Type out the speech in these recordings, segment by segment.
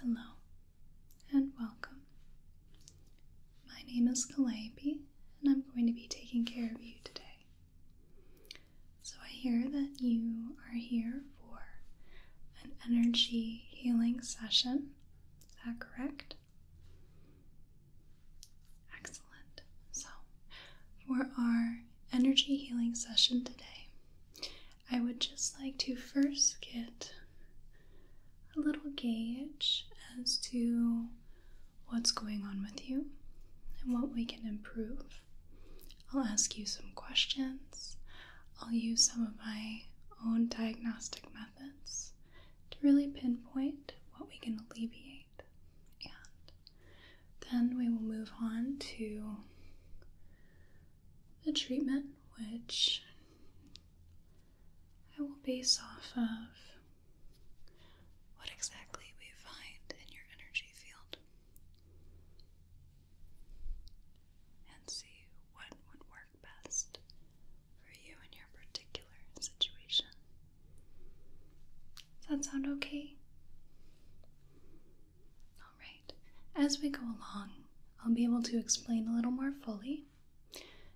Hello and welcome. My name is Calliope, and I'm going to be taking care of you today. So, I hear that you are here for an energy healing session. Is that correct? Excellent. So, for our energy healing session today, I would just like to first get a little gauge as to what's going on with you and what we can improve. I'll ask you some questions. I'll use some of my own diagnostic methods to really pinpoint what we can alleviate. And then we will move on to the treatment, which I will base off of what exactly we find in your energy field and see what would work best for you in your particular situation. Does that sound okay? Alright, as we go along, I'll be able to explain a little more fully.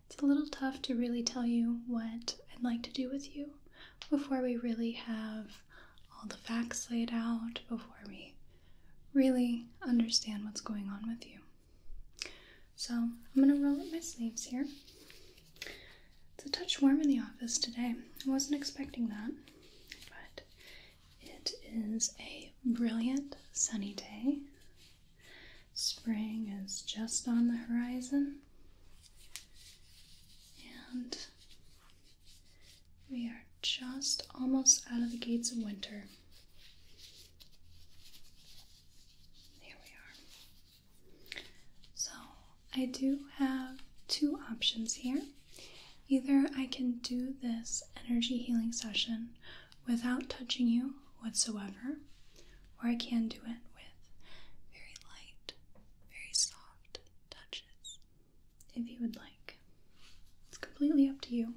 It's a little tough to really tell you what I'd like to do with you before we really have all the facts laid out, before we really understand what's going on with you. So I'm gonna roll up my sleeves here. It's a touch warm in the office today. I wasn't expecting that, but it is a brilliant sunny day. Spring is just on the horizon, and we are just almost out of the gates of winter. There we are. So I do have two options here. Either I can do this energy healing session without touching you whatsoever, or I can do it with very light, very soft touches if you would like. It's completely up to you.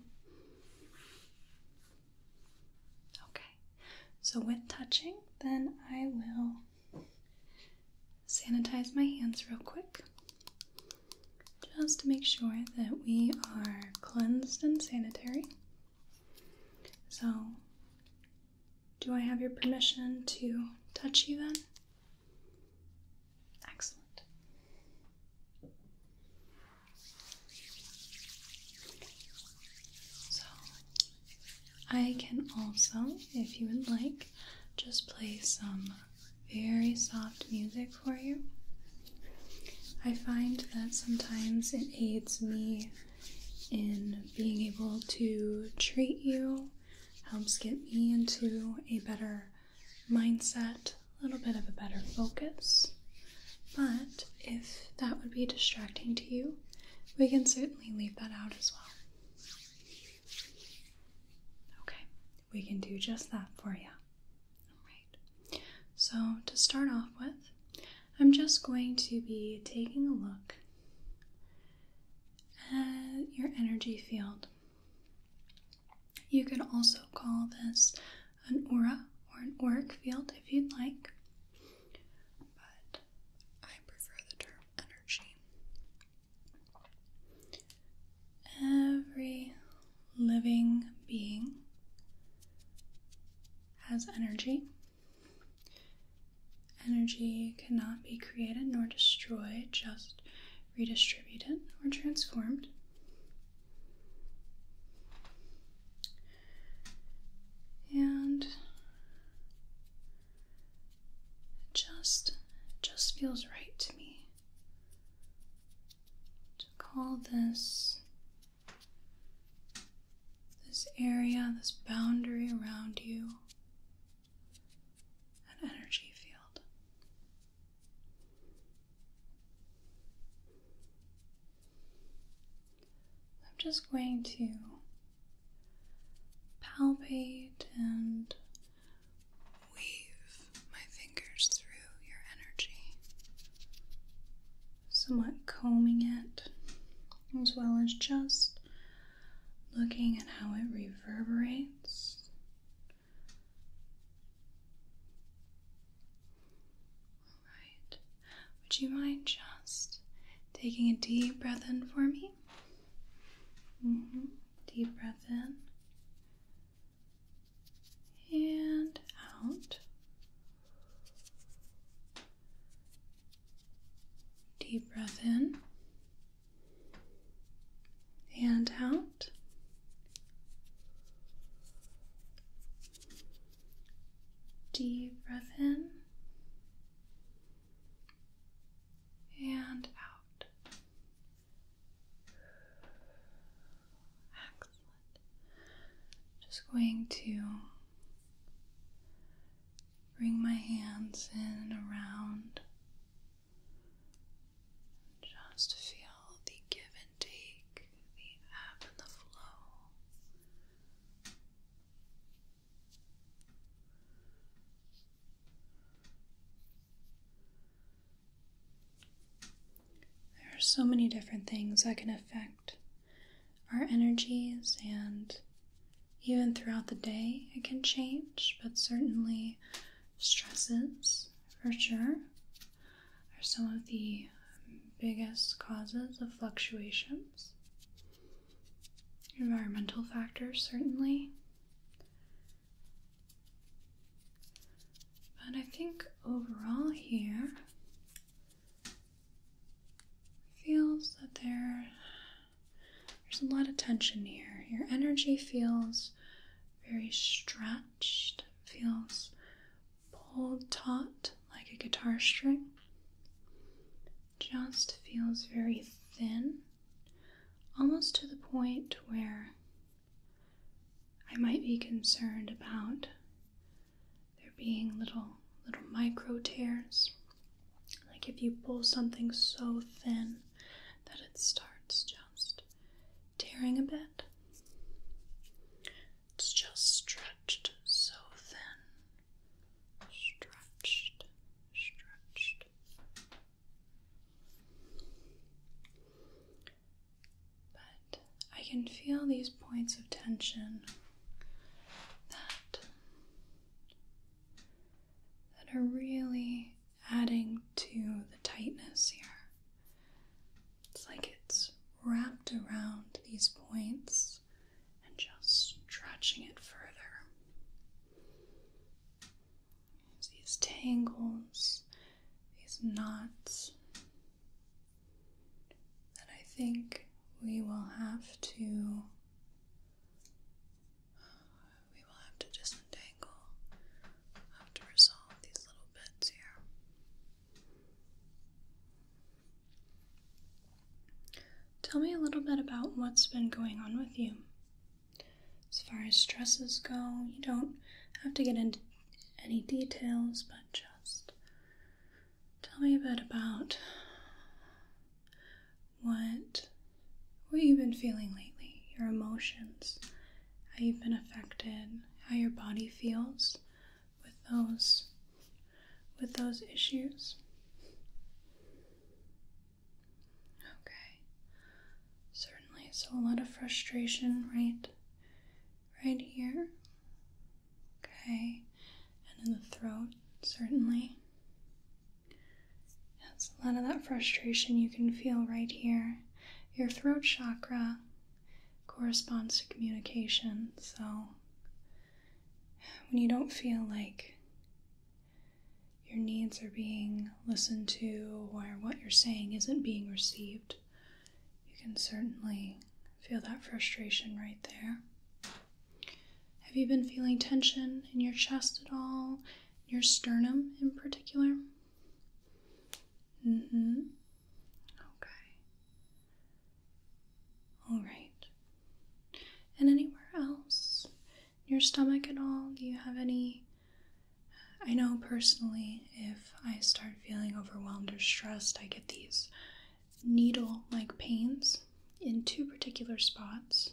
Okay, so with touching, then I will sanitize my hands real quick just to make sure that we are cleansed and sanitary. So, do I have your permission to touch you then? Excellent. So I can also, if you would like, just play some very soft music for you. I find that sometimes it aids me in being able to treat you, helps get me into a better mindset, a little bit of a better focus. But if that would be distracting to you, we can certainly leave that out as well. Okay, we can do just that for you. Alright, so to start off with, I'm just going to be taking a look at your energy field. You can also call this an aura or an auric field if you'd like, but I prefer the term energy. Every living being has energy. Energy cannot be created nor destroyed, just redistributed or transformed and it just just feels right to me to call this this area, this boundary around you an energy field. I'm just going to palpate and weave my fingers through your energy, somewhat combing it, as well as just looking at how it reverberates. Alright, would you mind just taking a deep breath in for me? Mm-hmm. Deep breath in and out. Deep breath in and out. Deep breath in and out. Excellent. Just going to bring my hands in and around. Just feel the give and take, the ebb and the flow there are so many different things that can affect our energies, and even throughout the day, it can change, but certainly stresses for sure are some of the biggest causes of fluctuations. Environmental factors, certainly. But I think overall, here feels that there, there's a lot of tension here. Your energy feels very stretched, feels pulled taut like a guitar string. Just feels very thin, almost to the point where I might be concerned about there being little little micro tears. Like if you pull something so thin that it starts just tearing a bit. It's just stretched so thin. Stretched, stretched. But I can feel these points of tension that that are really adding to the tightness here. It's like it's wrapped around these points and just stretching it further. these tangles, these knots that I think we will have to we will have to disentangle. have to resolve these little bits here. Tell me a little bit about what's been going on with you. As far as stresses go, you don't have to get into any details, but just tell me a bit about what what you've been feeling lately, your emotions, how you've been affected, how your body feels with those with those issues. Okay. Certainly. So a lot of frustration right right here. Okay. And in the throat, certainly. That's a lot of that frustration you can feel right here. Your throat chakra corresponds to communication, so when you don't feel like your needs are being listened to or what you're saying isn't being received, you can certainly feel that frustration right there. Have you been feeling tension in your chest at all? Your sternum in particular? Mm hmm. Okay. All right. And anywhere else? Your stomach at all? Do you have any? I know personally, if I start feeling overwhelmed or stressed, I get these needle like pains in two particular spots.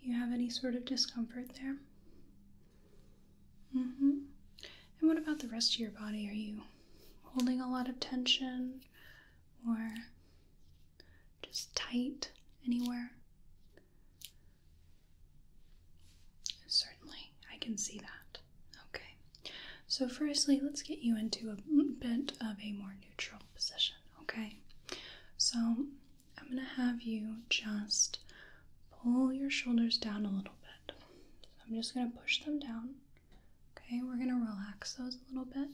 You have any sort of discomfort there? Mm hmm. And what about the rest of your body? Are you holding a lot of tension or just tight anywhere? Certainly, I can see that. Okay. So, firstly, let's get you into a bit of a more neutral position, okay? So, I'm going to have you just pull your shoulders down a little bit. I'm just going to push them down. Okay, we're gonna relax those a little bit.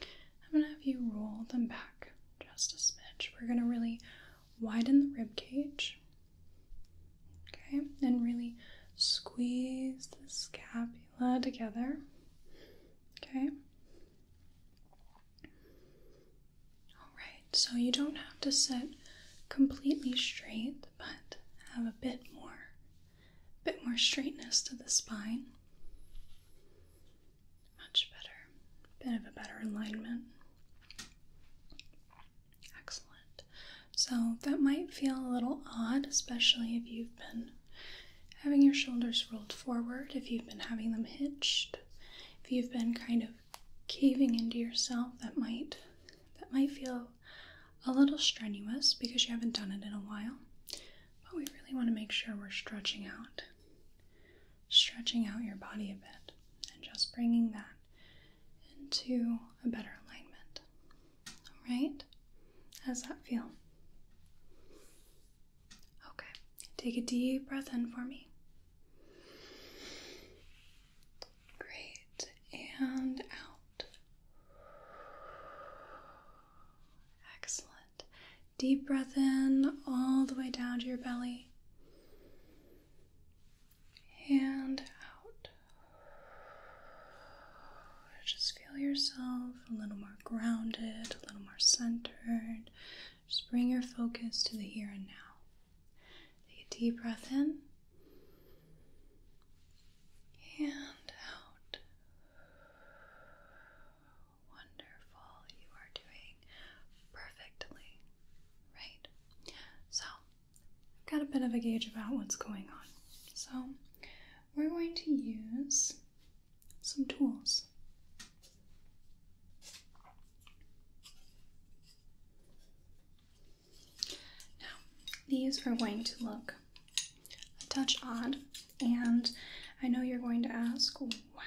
I'm gonna have you roll them back just a smidge. We're gonna really widen the rib cage. Okay, and really squeeze the scapula together. Okay. Alright, so you don't have to sit completely straight, but have a bit more a bit more straightness to the spine. Much better. Bit of a better alignment. Excellent. So that might feel a little odd, especially if you've been having your shoulders rolled forward, if you've been having them hitched, if you've been kind of caving into yourself, that might that might feel a little strenuous because you haven't done it in a while. But we really want to make sure we're stretching out, stretching out your body a bit, and just bringing that into a better alignment. All right? How that feel? Okay, take a deep breath in for me. Great, and out. Excellent. Deep breath in all the way down to your belly and out. Just feel yourself a little more grounded, a little more centered. Just bring your focus to the here and now. Take a deep breath in and out. Wonderful, you are doing perfectly, right? So, I've got a bit of a gauge about what's going on. So, we're going to use some tools. Now, these are going to look a touch odd, and I know you're going to ask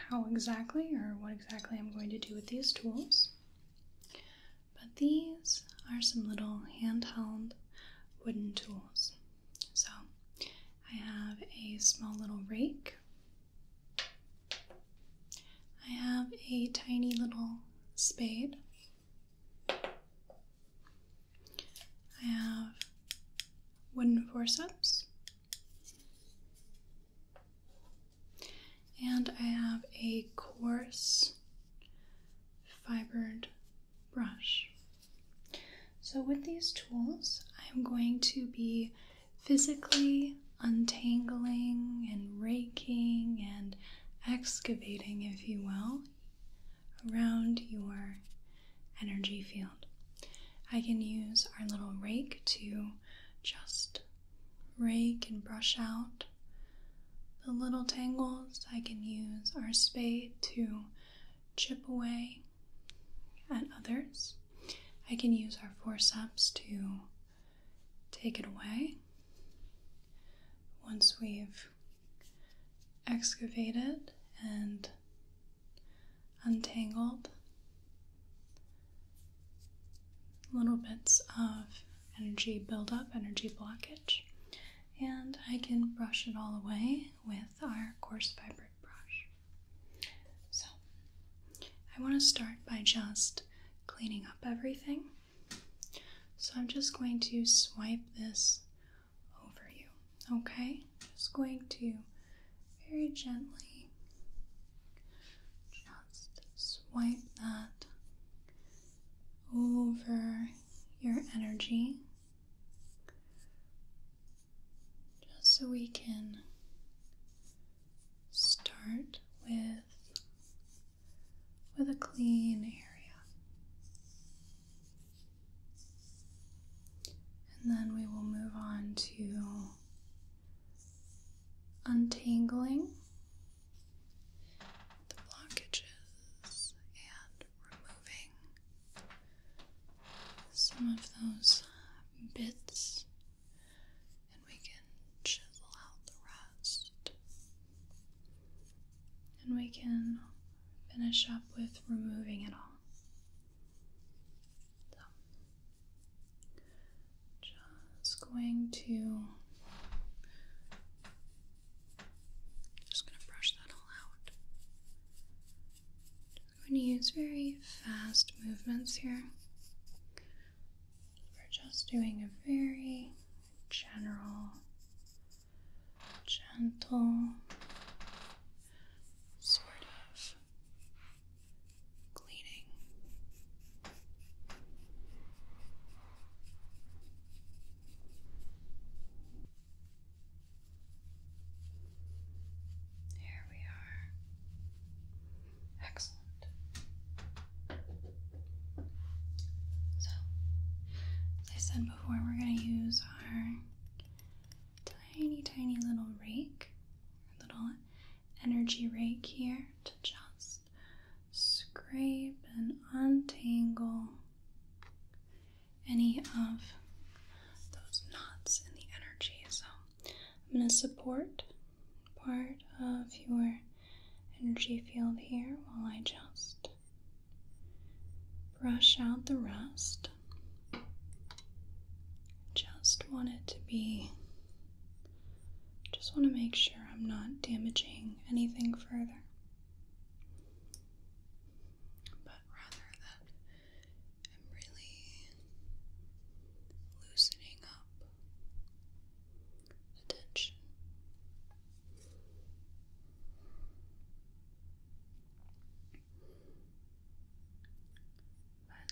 how exactly or what exactly I'm going to do with these tools. But these are some little handheld wooden tools. So I have a small little rake, I have a tiny little spade. I have wooden forceps, and I have a coarse fibered brush. So, with these tools, I'm going to be physically untangling and raking and excavating, if you will, around your energy field. I can use our little rake to just rake and brush out the little tangles. I can use our spade to chip away at others. I can use our forceps to take it away. Once we've excavated and untangled little bits of energy buildup, energy blockage, and I can brush it all away with our coarse fabric brush. So, I want to start by just cleaning up everything. So, I'm just going to swipe this over you. Okay? Just going to very gently just swipe that over your energy just so we can start with with a clean area and then we will move on to untangling the blockages and removing some of those bits, and we can chisel out the rest and we can finish up with removing it all. So, just going to just going to brush that all out. Just going to use very fast movements here. We're just doing a very general gentle, sort of cleaning. Here we are. Excellent. So, as I said before, we're going to use our tiny, tiny little rake, little energy rake here to just scrape and untangle any of those knots in the energy. So I'm going to support part of your energy field here while I just brush out the rest. Just want it to be, just want to make sure I'm not damaging anything further. But rather that I'm really loosening up the tension.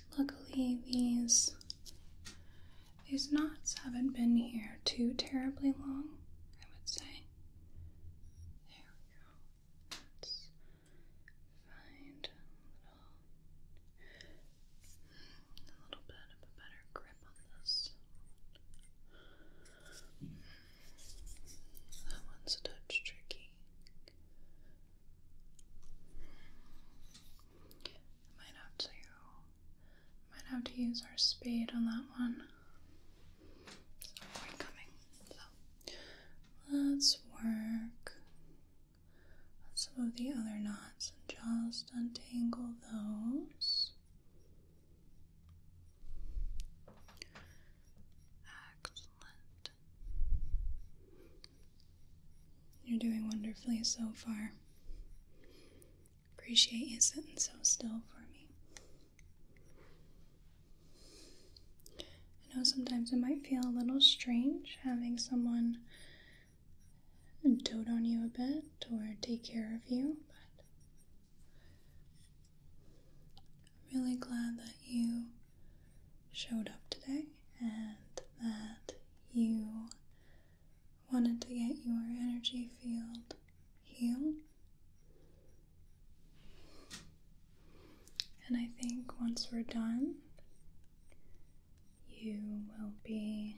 But luckily these these knots haven't been here too terribly long, I would say. There we go. Let's find a little bit of a better grip on this. That one's a touch tricky. might have to might have to use our spade on that one. coming. So let's work on some of the other knots and just untangle those. Excellent. You're doing wonderfully so far. Appreciate you sitting so still for me. I know sometimes it might feel a little strange having someone dote on you a bit or take care of you, but I'm really glad that you showed up today and that you wanted to get your energy field healed. And I think once we're done, you will be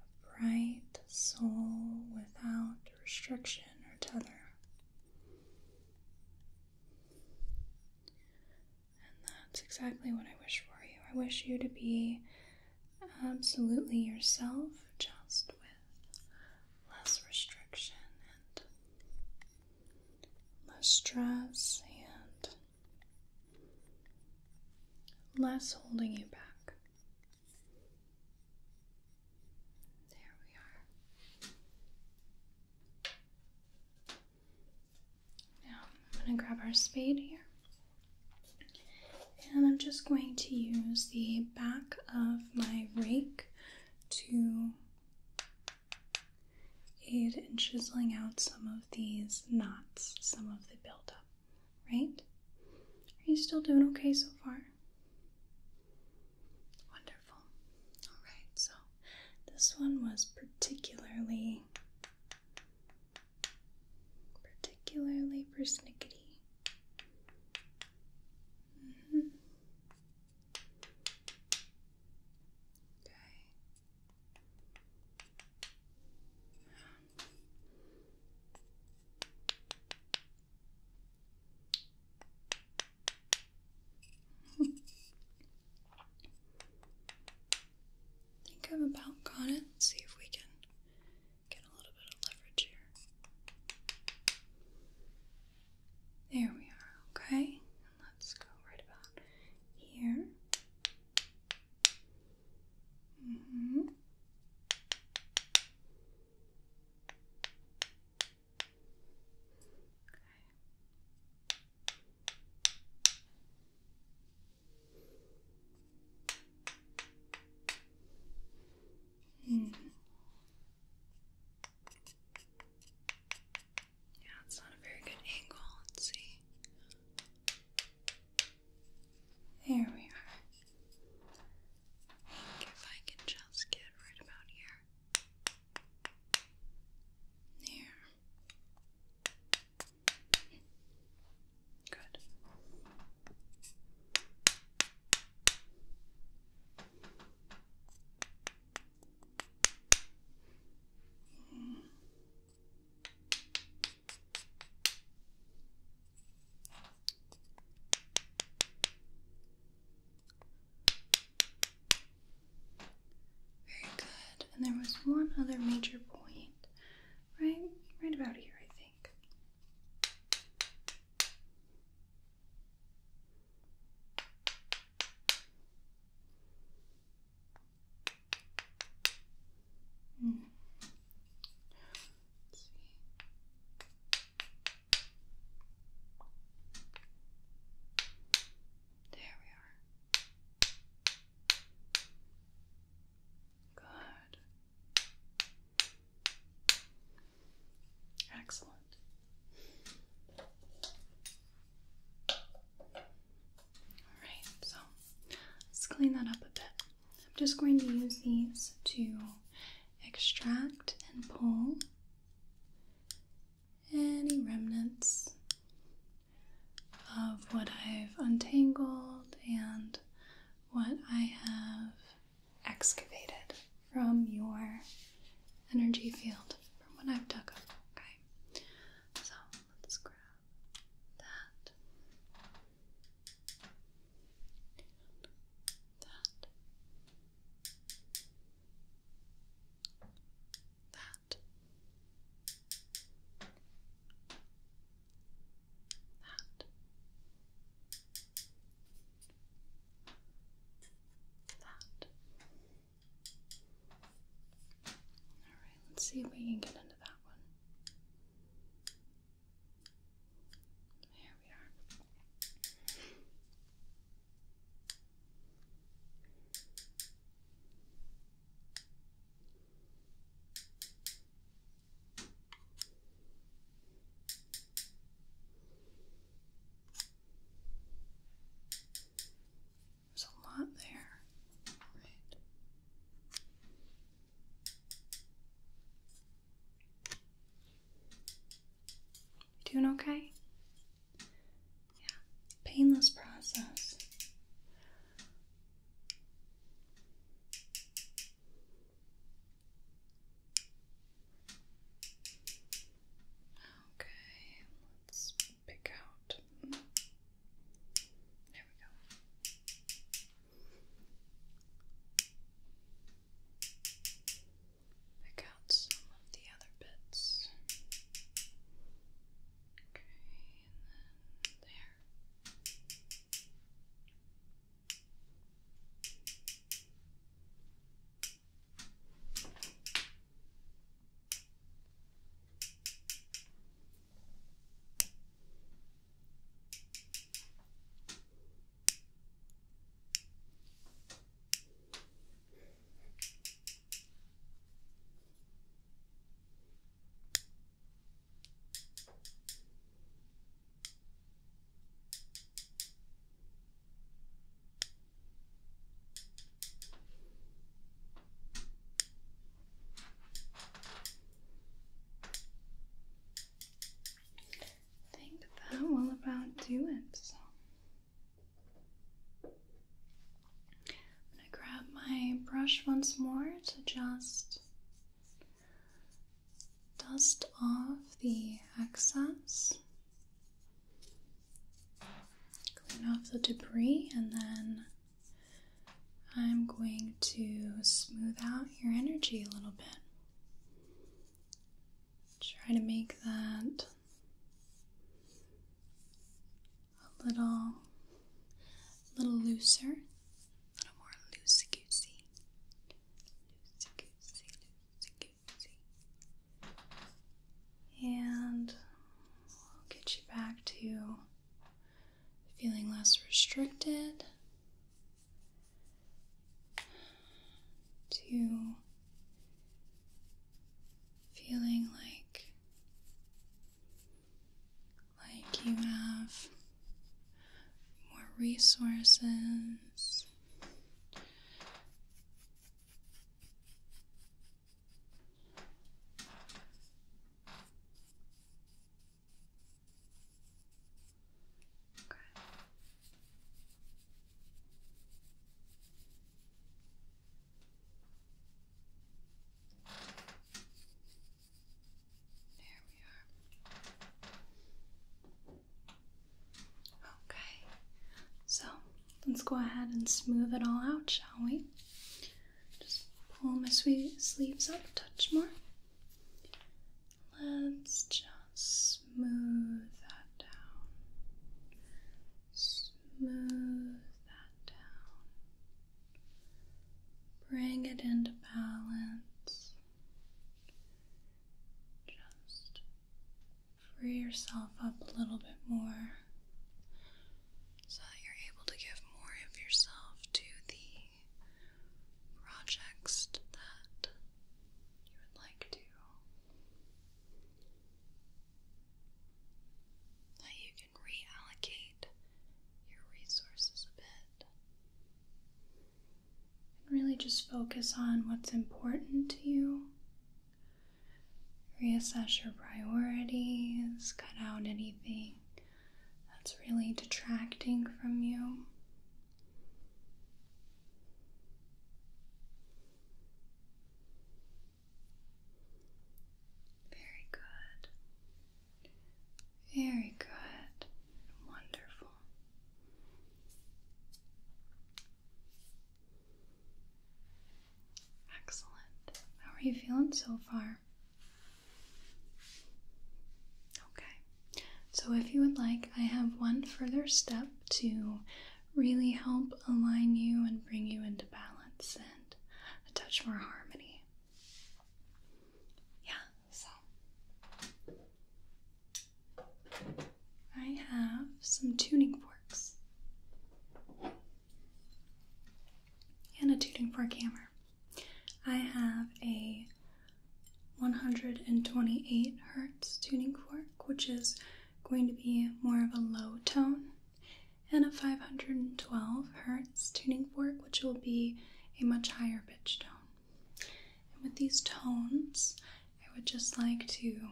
a bright soul without restriction or tether. And that's exactly what I wish for you. I wish you to be absolutely yourself, just with less restriction and less stress and less holding you back. There we are. Now I'm going to grab our spade here. And I'm just going to use the back of my rake to aid in chiseling out some of these knots, some of the buildup, right? Are you still doing okay so far? Wonderful. Alright, so this one was particularly, particularly persnickety. Mm-hmm. Okay think i am about got it. Let's see if we can get a little bit of leverage here. There we are, okay? let's go right about here. Mm -hmm. Mm. Yeah, it's not a very good angle. Let's see. There we are. if I can just get right about here. There. Good. Mm. Very good. And there was one other major point, right? Right about here, I think. Mm. Let's see. There we are. Good. Excellent. Alright, so let's clean that up a bit. I'm just going to use these to extract and pull any remnants of what I've untangled and what I have excavated from your energy field, from what I've dug up. Okay, so let's grab that. That that, that, that. All right, let's see if we can get into that one. Here we are. There's a lot there, right? doing okay? Yeah, painless process. Okay, let's pick out. There we go pick out some of the other bits. Okay, and then there. I think that will about do it. So I'm going to grab my brush once more to just dust off the excess, clean off the debris, and then I'm going to smooth out your energy a little bit. Try to make that a little, little looser, a little more loosey and get you back to feeling less restricted to feeling like like you have more resources there we are. Okay, so let's go ahead and smooth it all out, shall we? Just pull my sleeves up touch more. Let's just Smooth that down. Smooth that down. Bring it into balance. Just free yourself up a little bit more so that you're able to give more of yourself to the projects that you would like to that you can reallocate your resources a bit and really just focus on what's important to you. Reassess your priorities, cut out anything that's really detracting from you. Very good. Very good. Wonderful. Excellent. How are you feeling so far? Okay. So, if you would like, I have one further step to really help align you and bring you into balance and a touch more harmony. Yeah, so I have some tuning forks and a tuning fork hammer. I have a 128 hertz tuning fork, which is going to be more of a low tone and a 512 hertz tuning fork, which will be a much higher pitch tone. And with these tones, I would just like to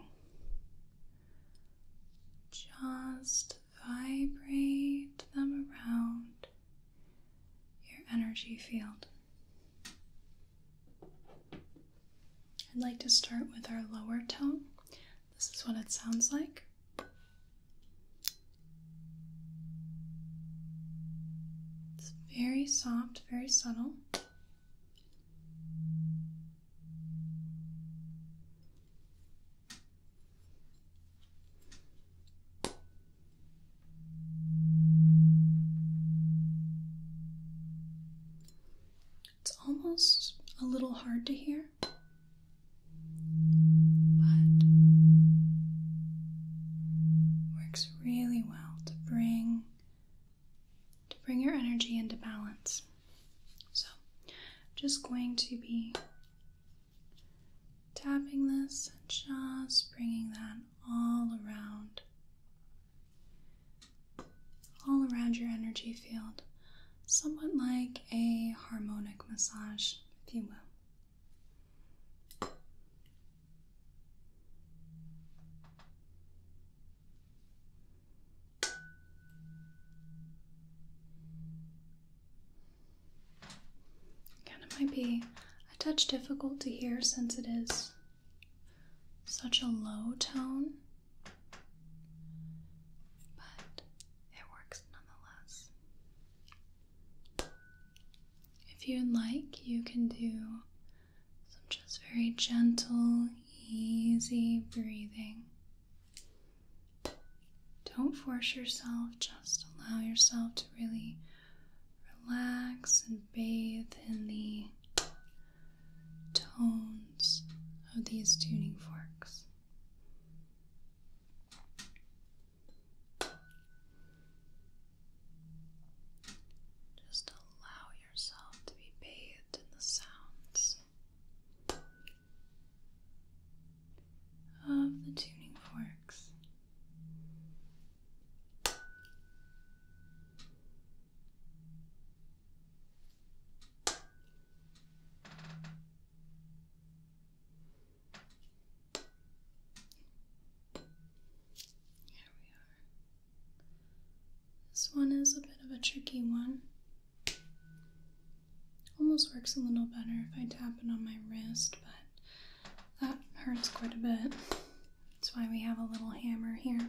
just vibrate them around your energy field. I'd like to start with our lower tone. This is what it sounds like. It's very soft, very subtle. It's almost a little hard to hear, but works really well to bring to bring your energy into balance. So, just going to be tapping this and just bringing that all around all around your energy field, somewhat like a harmonic massage, if you will. Again, it might be a touch difficult to hear since it is such a low tone. But it works nonetheless. If you'd like, you can do some just very gentle, easy breathing. Don't force yourself, just allow yourself to really relax and bathe in the tones of these tuning forks. Just allow yourself to be bathed in the sounds of the tuning forks. Here we are. This one is a bit of a tricky one. Almost works a little better if I tap it on my wrist, but that hurts quite a bit. That's why we have a little hammer here.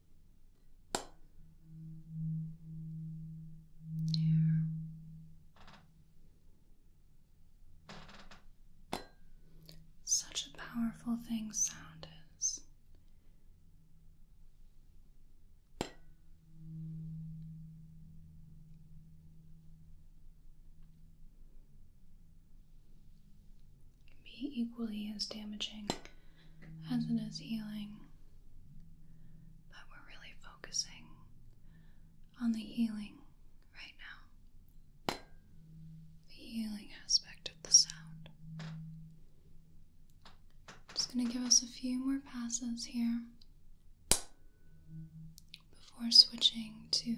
Such a powerful thing sound is. be equally as damaging as it is healing, but we're really focusing on the healing right now. The healing aspect of the sound. just going to give us a few more passes here before switching to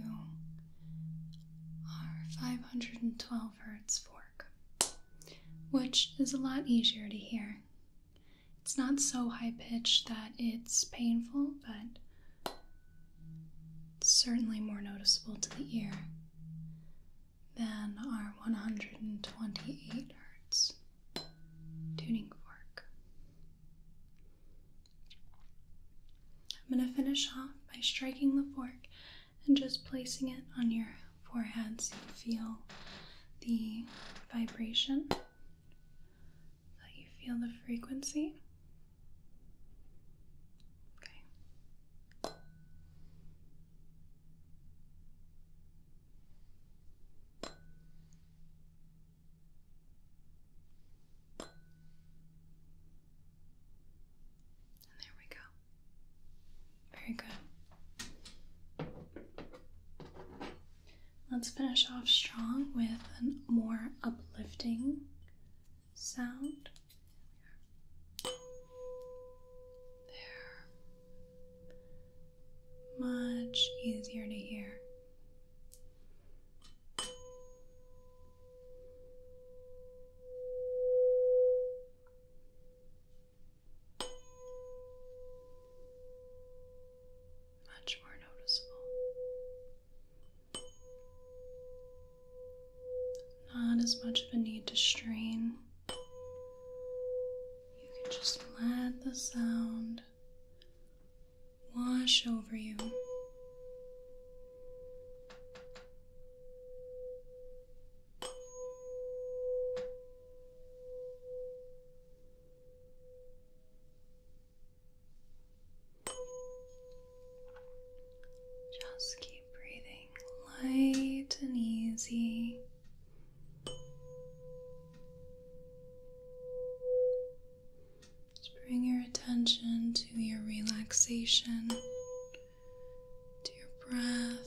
our 512 hertz fork, which is a lot easier to hear it's not so high pitched that it's painful, but certainly more noticeable to the ear than our 128 hertz tuning fork. I'm going to finish off by striking the fork and just placing it on your forehead so you feel the vibration, that you feel the frequency. Okay. And there we go. Very good. Let's finish off strong with a more uplifting sound. There. Much easier to hear. Much more noticeable. Not as much of a need to strain. You can just let the sound wash over you. Just keep breathing light and easy. Just bring your attention to your relaxation, to your breath,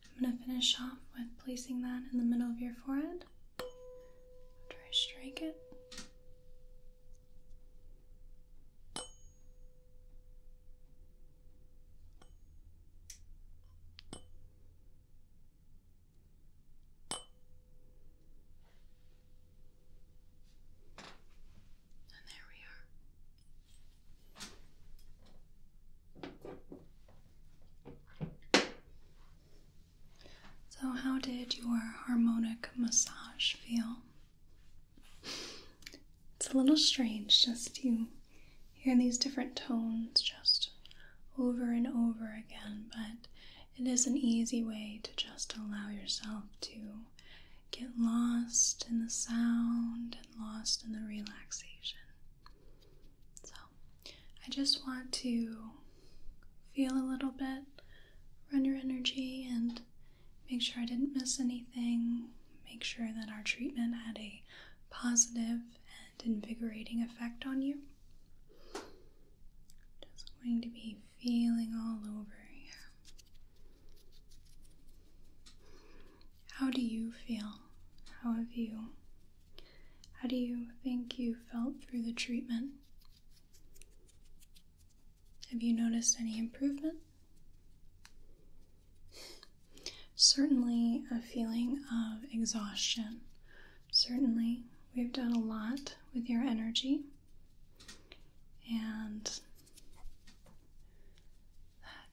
I'm going to finish off with placing that in the middle of your forehead after I strike it. And there we are. So, how did your harmonic massage feel? It's a little strange just to hear these different tones just over and over again, but it is an easy way to just allow yourself to get lost in the sound and lost in the relaxation. So I just want to feel a little bit, run your energy, and make sure I didn't miss anything. Make sure that our treatment had a positive and invigorating effect on you. Just going to be feeling all over here. How do you feel? How have you how do you think you felt through the treatment? Have you noticed any improvement? Certainly, a feeling of exhaustion. Certainly, we've done a lot with your energy, and that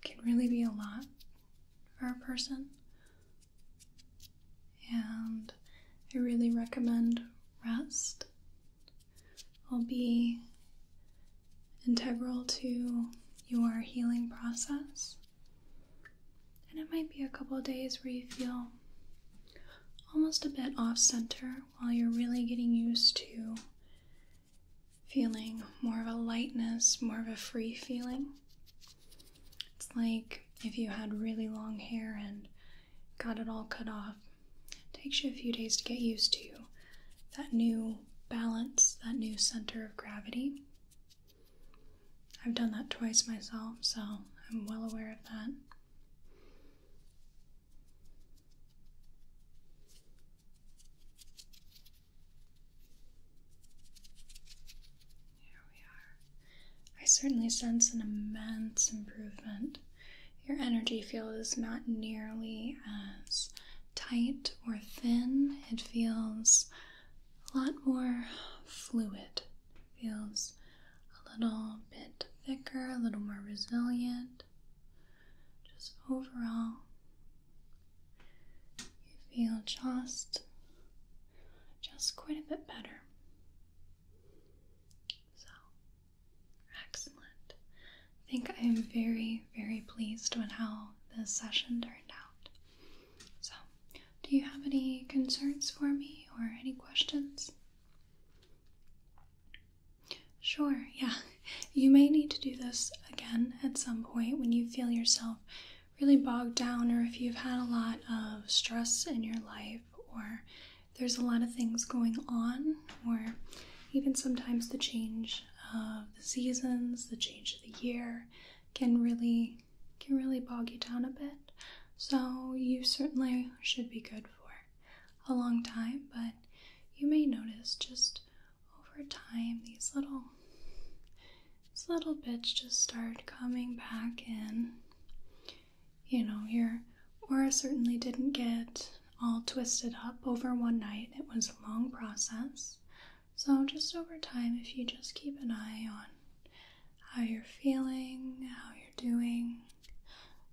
can really be a lot for a person and I really recommend rest. Will be integral to your healing process. And it might be a couple days where you feel almost a bit off center while you're really getting used to feeling more of a lightness, more of a free feeling. It's like if you had really long hair and got it all cut off. It takes you a few days to get used to that new balance, that new center of gravity. I've done that twice myself, so I'm well aware of that. Here we are. I certainly sense an immense improvement. Your energy field is not nearly as tight or thin. It feels a lot more fluid. It feels a little bit thicker, a little more resilient. Just overall, you feel just just quite a bit better. So, excellent. I think I am very, very pleased with how this session turned out. So, do you have any concerns for me or any questions? Sure, yeah. You may need to do this again at some point when you feel yourself really bogged down or if you've had a lot of stress in your life or there's a lot of things going on or even sometimes the change of the seasons, the change of the year can really can really bog you down a bit. So you certainly should be good for a long time, but you may notice just over time these little this little bitch just started coming back in. You know, your aura certainly didn't get all twisted up over one night, it was a long process. So, just over time, if you just keep an eye on how you're feeling, how you're doing,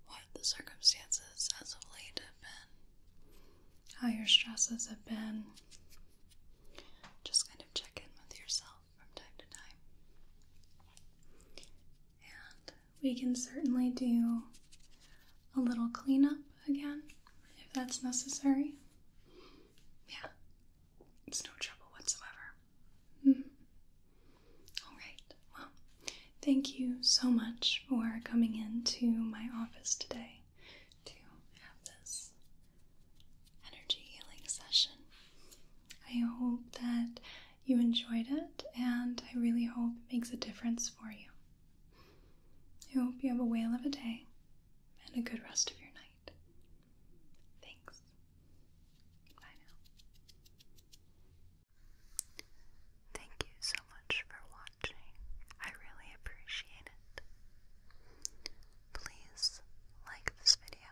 what the circumstances as of late have been, how your stresses have been, just kind of check in with yourself from time to time. And we can certainly do a little cleanup again if that's necessary. Yeah, it's no trouble whatsoever. -hmm. All right, well, thank you so much for coming into my office today to have this energy healing session. I hope that you enjoyed it, and I really hope it makes a difference for you. I hope you have a whale of a day and a good rest of your night. Thanks. Bye now. Thank you so much for watching. I really appreciate it. Please like this video